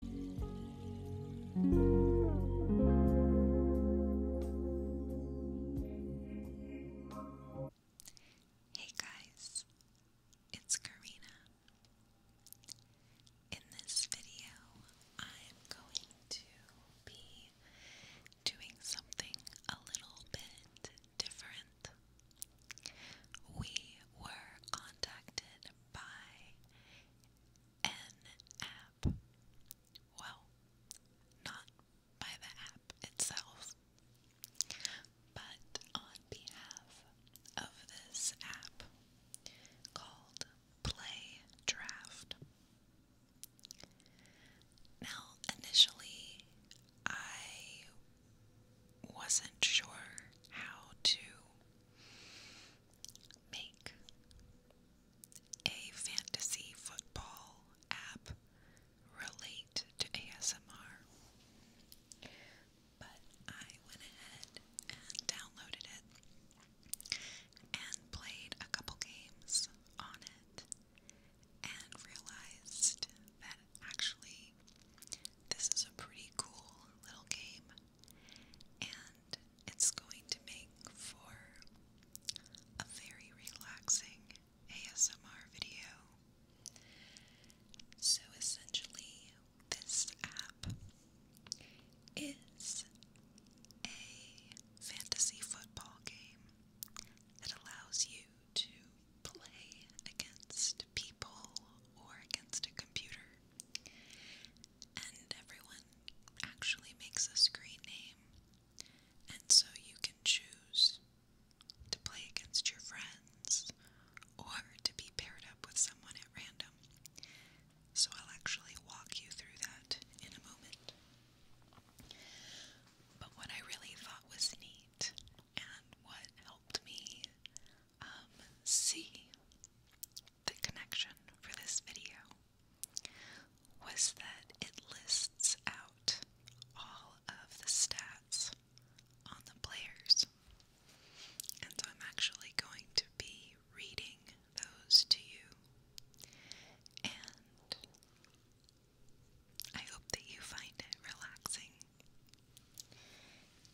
Hey guys, it's Karina. In this video, I'm going to be doing something a little bit different. We were contacted by an app. Well, not by the app itself, but on behalf of this app called Play Draft. Now, initially, I wasn't sure how to Make a fantasy football app relate to ASMR. But I went ahead and downloaded it and played a couple games on it and realized that actually this is a pretty cool little game and it's going to make for a very relaxing ASMR video. So essentially, this app is a fantasy football game that allows you to play against people or against a computer and everyone actually makes a screen name, and so you can choose to play against your friends or to be paired up with someone at random. So I'll actually walk you through that in a moment. But what I really thought was neat and what helped me um, see the connection for this video was that it lists out all of the stats on the players. And I'm actually going to be reading those to you. And I hope that you find it relaxing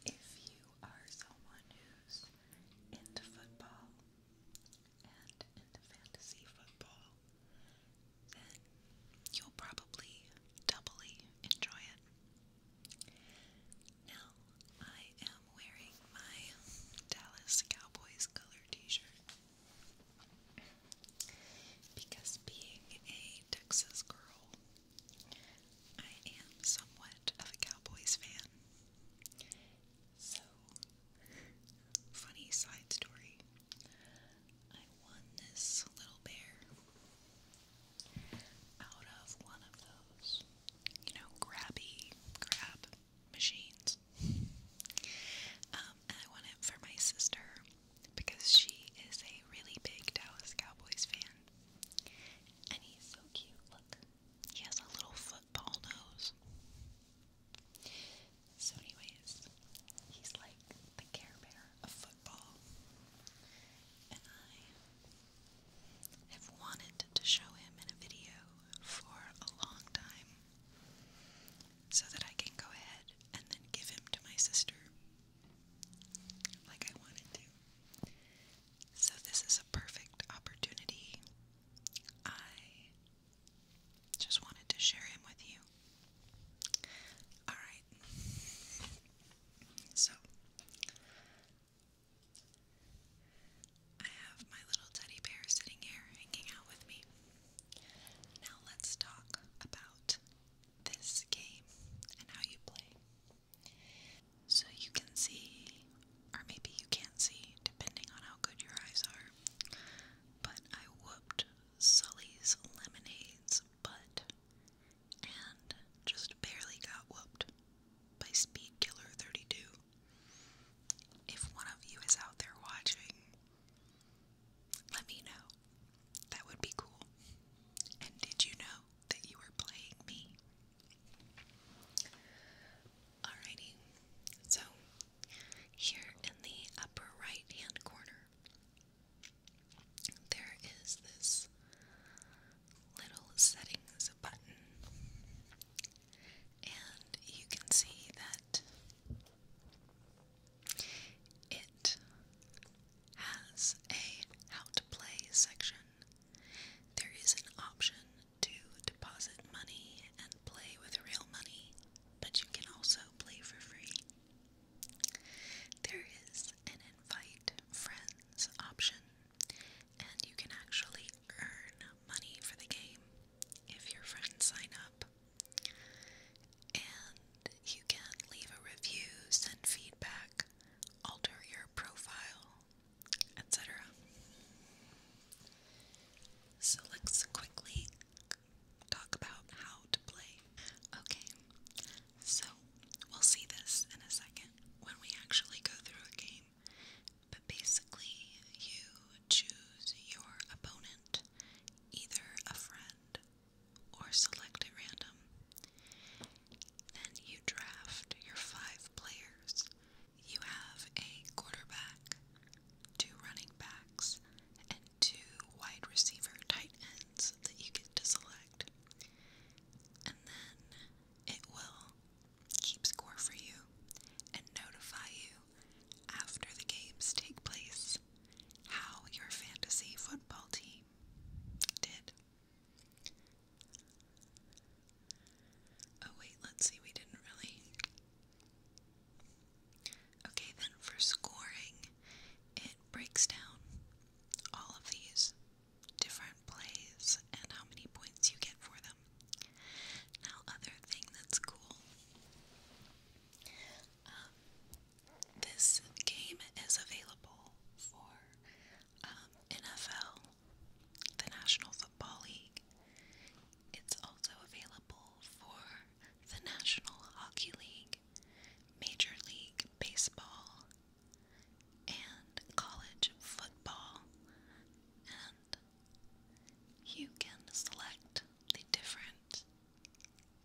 if you are someone who's into football and into fantasy football, then you'll probably doubly enjoy it. Now, I am wearing my Dallas Cowboys color t-shirt because being a Texas girl I am somewhat of a Cowboys fan. So, funny side story. I won this little bear out of one of those, you know, grabby grab machines. Um, I won it for my sister because she is a really big Dallas Cowboys fan. And he's so cute. Look, he has a little football nose. So, anyways, he's like the Care Bear of football. And I have wanted to show him in a video for a long time so that I can go ahead and then give him to my sister like I wanted to. So, this is a perfect opportunity. I just wanted to share him with you. Alright. So, I have my little teddy bear sitting here hanging out with me. Now, let's talk about this game and how you play. So you can see, or maybe you can't see, depending on how good your eyes are. But I whooped Sully's Lemonade's butt and just barely got whooped by Speed Killer 32. If one of you is out there watching, let me know. That would be cool. And did you know that you were playing me? Alrighty, so here in the upper right hand corner, there is this little settings button, and you can see that it has a how to play section there is an option to deposit money and play with real money, but you can also play for free. There is an invite friends option, and you can actually earn money for the game if your friends sign up. And you can leave a review, send feedback, alter your profile, etc. So let's quickly talk about how to play. Okay, so we'll see this in a second when we actually go through a game. But basically, you choose your opponent, either a friend or select at random and you draft your five players. You have a quarterback, two running backs, and two wide receiver tight ends that you get to select. And then it will keep score for you and notify you after the games take place how your fantasy football team did. Oh, wait, let's see, we didn't really. Okay, then for scoring, it breaks down all of these different plays and how many points you get for them. Now, other thing that's cool. Um, this game is available for um, NFL, the National Football League. It's also available for the National Hockey League, Major League Baseball, and college football. And you can select the different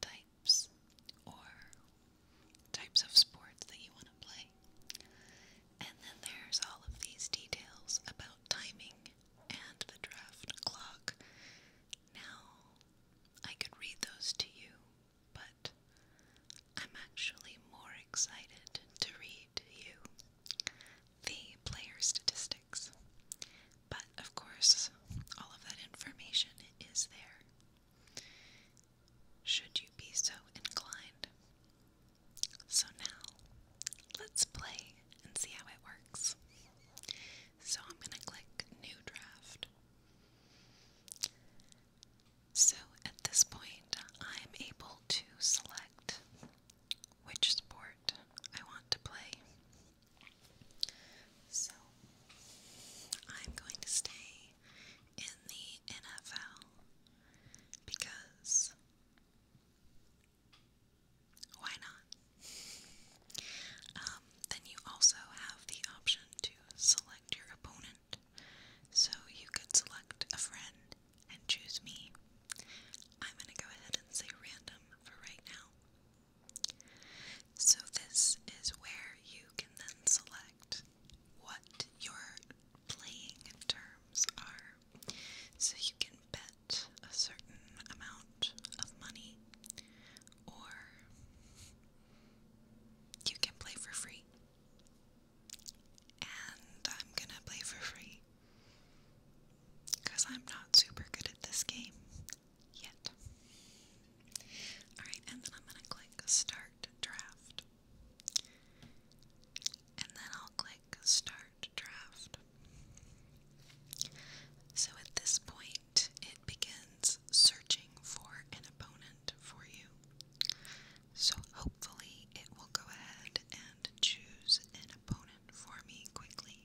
types or types of sports that you want to play. And then there's all of these details about timing and the draft clock. Now, I could read those to you, but I'm actually more excited to read to you the player statistics. But of course, all of that information is there should you be so inclined. So now, let's play and see how it works. So I'm going to click New Draft. So at this point, I'm able to select which sport I want to play. So I'm going to stay in the NFL because why not? Um, then you also have the option to select your opponent. So you could select a friend and choose me. I'm going to go ahead and say random for right now. So, this is where you can then select what your playing terms are. So you can bet a certain amount of money, or you can play for free. And I'm gonna play for free. Because I'm not super good at this game yet. Alright, and then I'm gonna click Start Draft and then I'll click Start Draft. So at this point, it begins searching for an opponent for you. So hopefully, it will go ahead and choose an opponent for me quickly.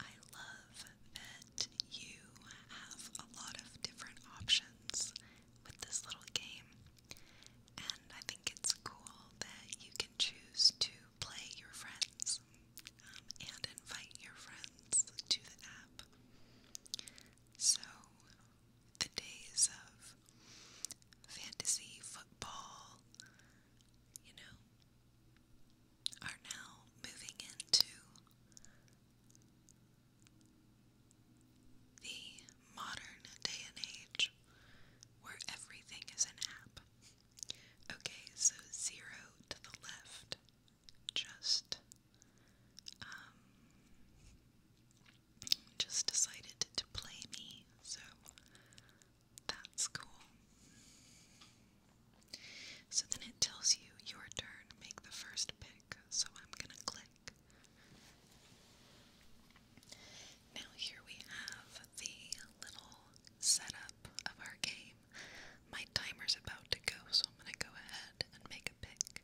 I love that you have a lot of different options with this little game. And I think it's cool that you can choose to play your friends um, and invite your friends to the app. So, the days of fantasy football, you know, are now moving into the modern day and age where everything is an app. Okay, so zero to the left. Just um just decided to play me, so that's cool. So then it tells you your turn, make the first pick. So I'm gonna click. Now here we have the little setup of our game. My timer's about to go, so I'm gonna go ahead and make a pick.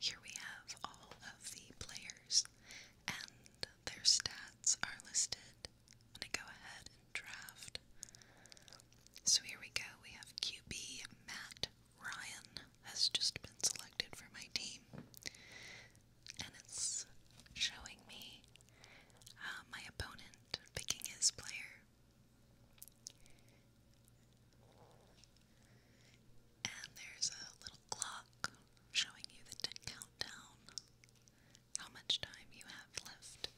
Here we have all of the players and their stats are listed. I'm gonna go ahead and draft so here we go. We have QB Matt Ryan has just been selected for my team. And it's showing me uh, my opponent picking his player. And there's a little clock showing you the countdown, how much time you have left.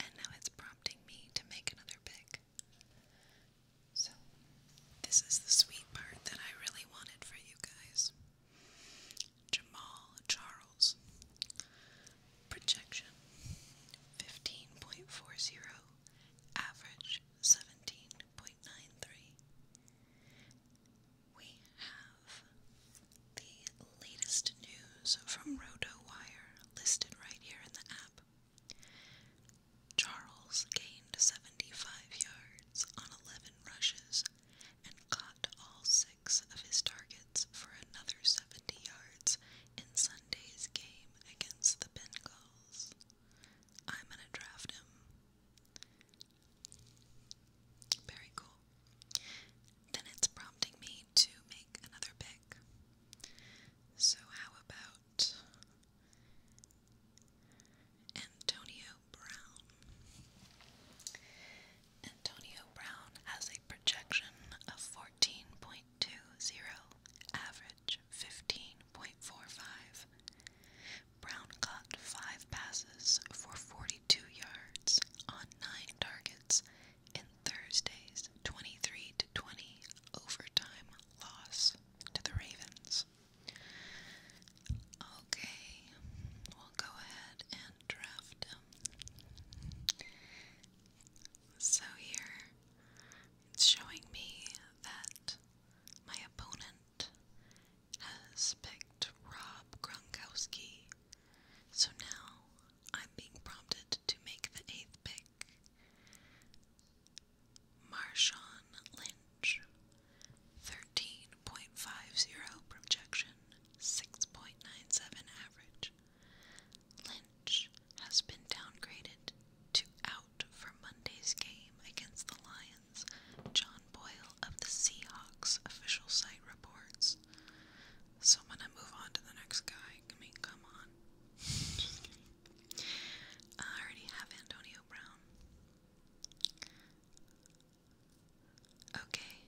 And now it's prompting me to make another pick. So, this is the sweet part that I really wanted for you guys. Jamal Charles. Projection 15.40, average 17.93. We have the latest news from RotoWire listed right here in the app. Charles gained 75 yards on 11 rushes and caught all six of his targets for another 70 yards in Sunday's game against the Bengals. I'm going to draft him. Very cool. Then it's prompting me to make another pick. So, how about Antonio Brown? Antonio Brown has a projection of 14.20, average 15.45. Brown caught five passes for 42 yards on nine targets in Thursday's 23 to 20 overtime loss to the Ravens. Okay, we'll go ahead and draft him. So here it's showing me that my opponent has picked Rob Gronkowski. So now I'm being prompted to make the eighth pick. Marshawn Lynch, 13.50 projection, 6.97 average. Lynch has been downgraded to out for Monday's game against the Lions, John Boyle of the Seahawks official site reports. So I'm gonna move on to the next guy. I mean, come on. Just I already have Antonio Brown. Okay.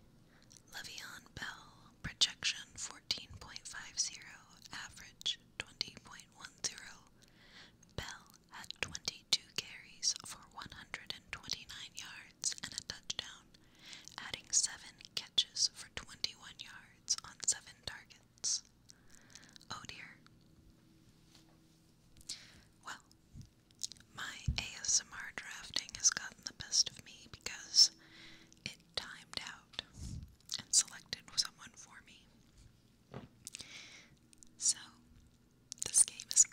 Le'Veon Bell, projection 14.50, average 20.10. Bell had 22 carries for 129 yards and a touchdown, adding 7 catches for 21 yards on seven targets. Oh dear. Well, my ASMR drafting has gotten the best of me because it timed out and selected someone for me. So, this game is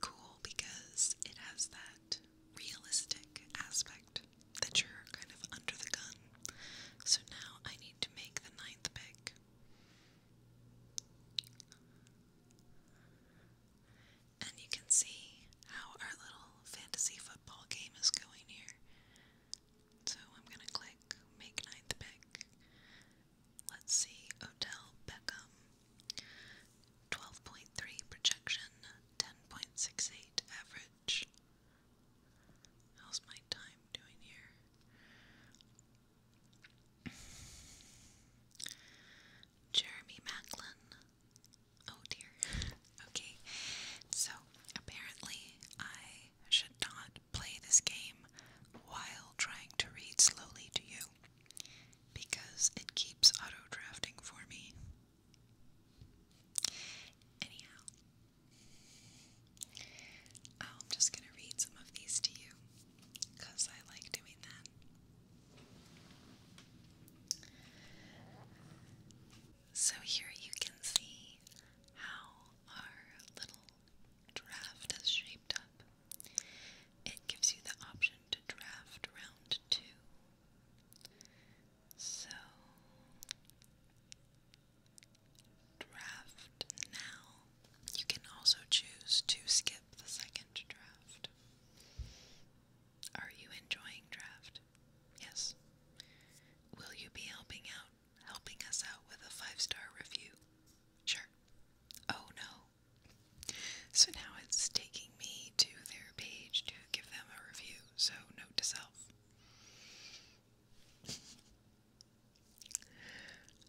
cool because it has that realistic aspect that you're kind of under the gun. So now I need to make the ninth pick. And you can see how our little fantasy football game is going here. So I'm gonna click make ninth pick. Let's see, Odell Beckham. 12.3 projection, 10.68 average. How's my time doing here? Jeremy Macklin. Oh dear. okay, so apparently I should not play this game while trying to read slowly to you because it keeps auto drafting for me. Anyhow, I'm just going to read some of these to you because I like doing that. So, here you can see how our little draft is shaped up. It gives you the option to draft round two, so draft now. You can also choose to skip the second draft. Are you enjoying draft? Yes. Will you be helping out helping us out with a five-star review? Sure. Oh no. So now it's taking me to their page to give them a review. So note to self.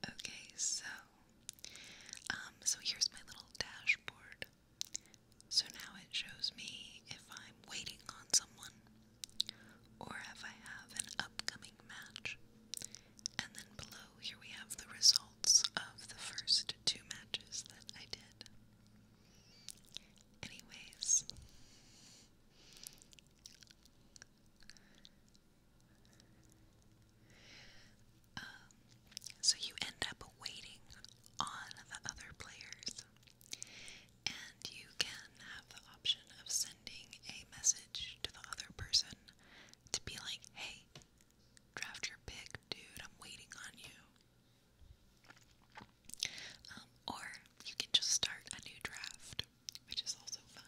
Okay, so um so here's my little dashboard. So now it shows me if I'm waiting on someone or if I have an upcoming match. And then below here we have the results of the first two matches that I did. Anyways. Um, so you end up waiting on the other players, and you can have the option of sending a message to the other person to be like, hey, draft your pick, dude, I'm waiting on you. Um, or you can just start a new draft, which is also fun.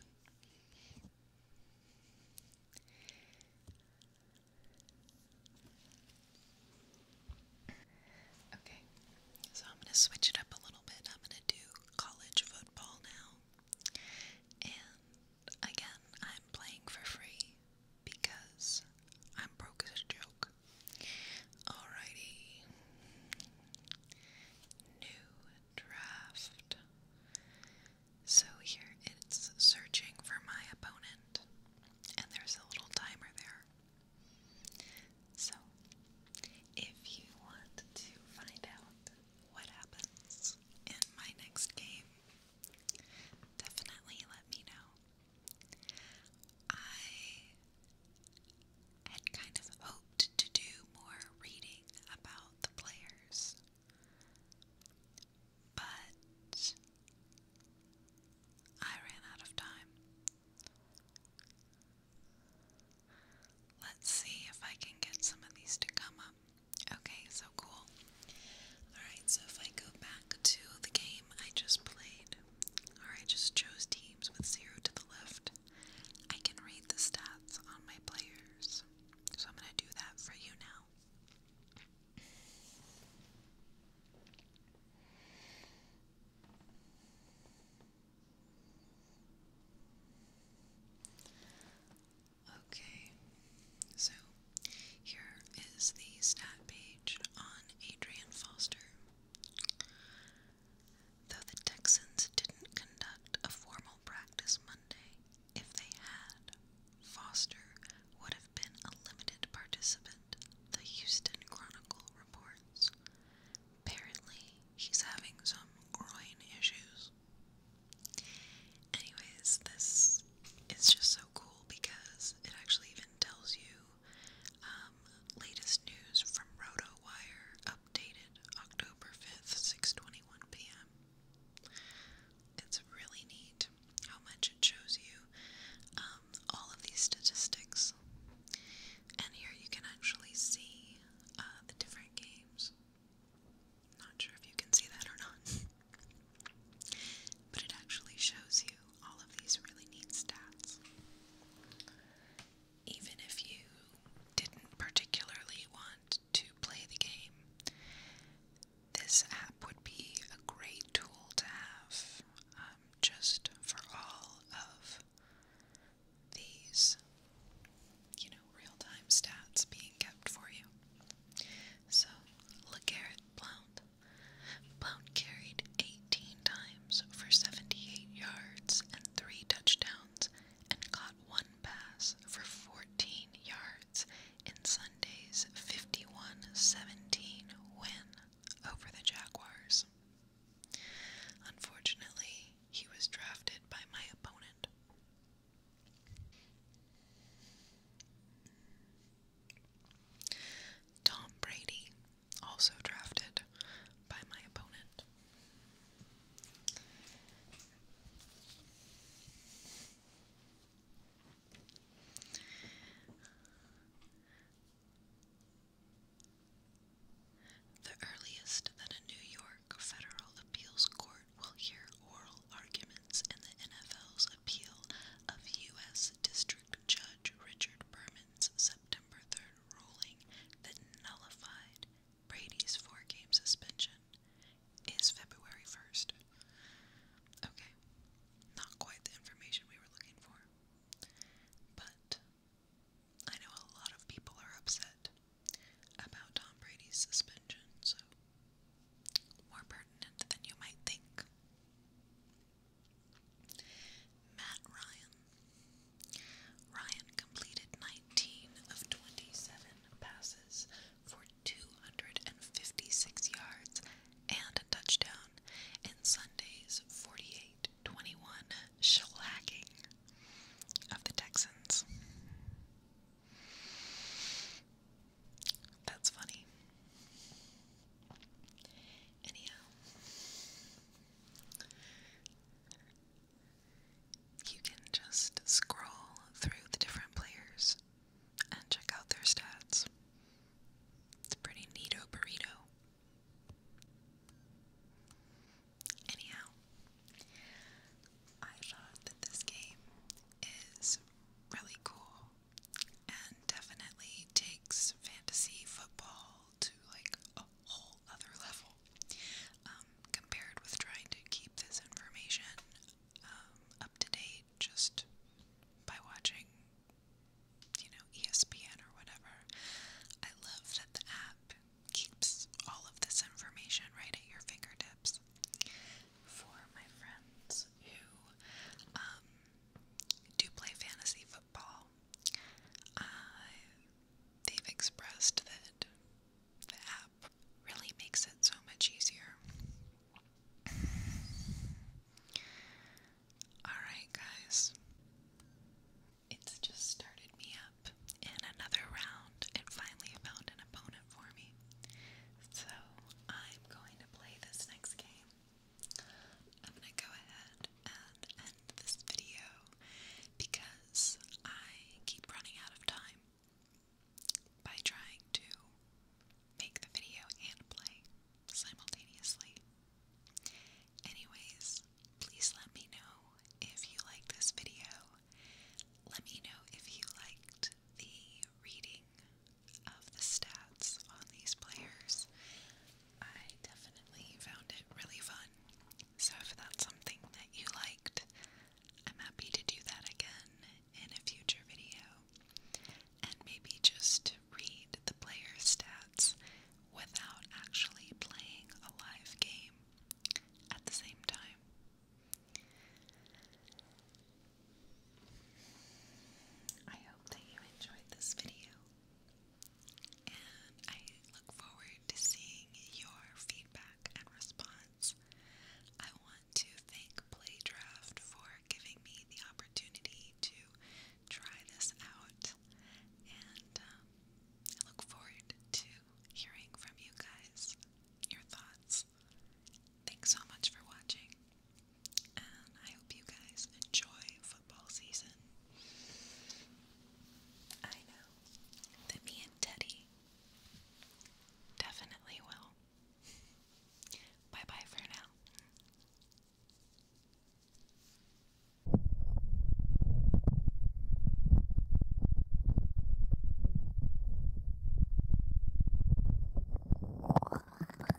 Okay, so I'm going to switch it up a little bit. I'm going to do college football now. And again, I'm playing for free because I'm broke as a joke. Alrighty. New draft. So here it's searching for my opponent, and there's a little timer there. So if you want to find out what happens in my next game, definitely let me know. I had kind of hoped to do more reading about the players, but I ran out of time. Let's see if I can get some of these to come up. Okay, so cool. Alright, so if I go back to the game I just played, or I just chose teams with zero to the left, I can read the stats on my players. So I'm going to do that for you now. Okay, so here is the stat page on Adrian Foster. Though the Texans didn't conduct a formal practice Monday, if they had, Foster would have been a limited participant, the Houston Chronicle reports. Apparently, he's having some groin issues. Anyways, this is just so cool because it actually even tells you um, latest news from RotoWire, updated October 5th, 6:21 p.m. It's really neat how much it shows you um, all of these statistics, and here you can actually see uh, the different games. Not sure if you can see that or not, but it actually shows you all of these really neat stats. Even if you didn't particularly want to play the game, this app would be a great tool to have um, just for all of these, you know, real time stats being kept for you. So, LeGarrette Blount Blount carried 18 times for 78 yards and 3 touchdowns and caught one pass for 14 yards in Sunday's 51-17 win over the Jaguars. Unfortunately, he was drafted by my opponent. Tom Brady also drafted by my opponent. The earliest that a New York federal appeals court will hear oral arguments in the NFL's appeal of U.S. District. Judge Richard Berman's September 3rd ruling that nullified Brady's four game suspension is February 1st. Okay, not quite the information we were looking for, but I know a lot of people are upset about Tom Brady's suspension, so more pertinent than you might think. Matt Ryan. Ryan completed 19 of 27 passes for 256 yards and a touchdown in Sunday's 48 21 shellacking of the Texans. That's funny. Anyhow, you can just scroll through the different players and check out their stats. It's a pretty neato burrito. Anyhow, I thought that this game is really cool and definitely takes fantasy football to like a whole other level um, compared with trying to keep this information um, up to date just by watching, you know, ESPN or whatever. I love that the app keeps all of this information right at your fingertips. For my friends who um, do play fantasy football. they've expressed that the app really makes it so much easier. Alright, guys. It's just started me up in another round and finally found an opponent for me. So I'm going to play this next game. I'm gonna go ahead and end this video because I keep running out of time by trying to make the video and play simultaneously. Anyways, please let me know if you like this video. Let me know if you liked the reading of the stats on these players, I definitely found it really fun. So, if that's something that you liked, I'm happy to do that again in a future video. And maybe just read the player stats without actually playing a live game at the same time. I hope that you enjoyed this video, and I look forward to seeing your feedback and response. I want to thank Playdraft for giving me the opportunity to try this out, and um, I look forward to hearing from you guys, your thoughts. Thanks so much for watching and I hope you guys enjoy football season. I know that me and Teddy definitely will. Bye bye for now.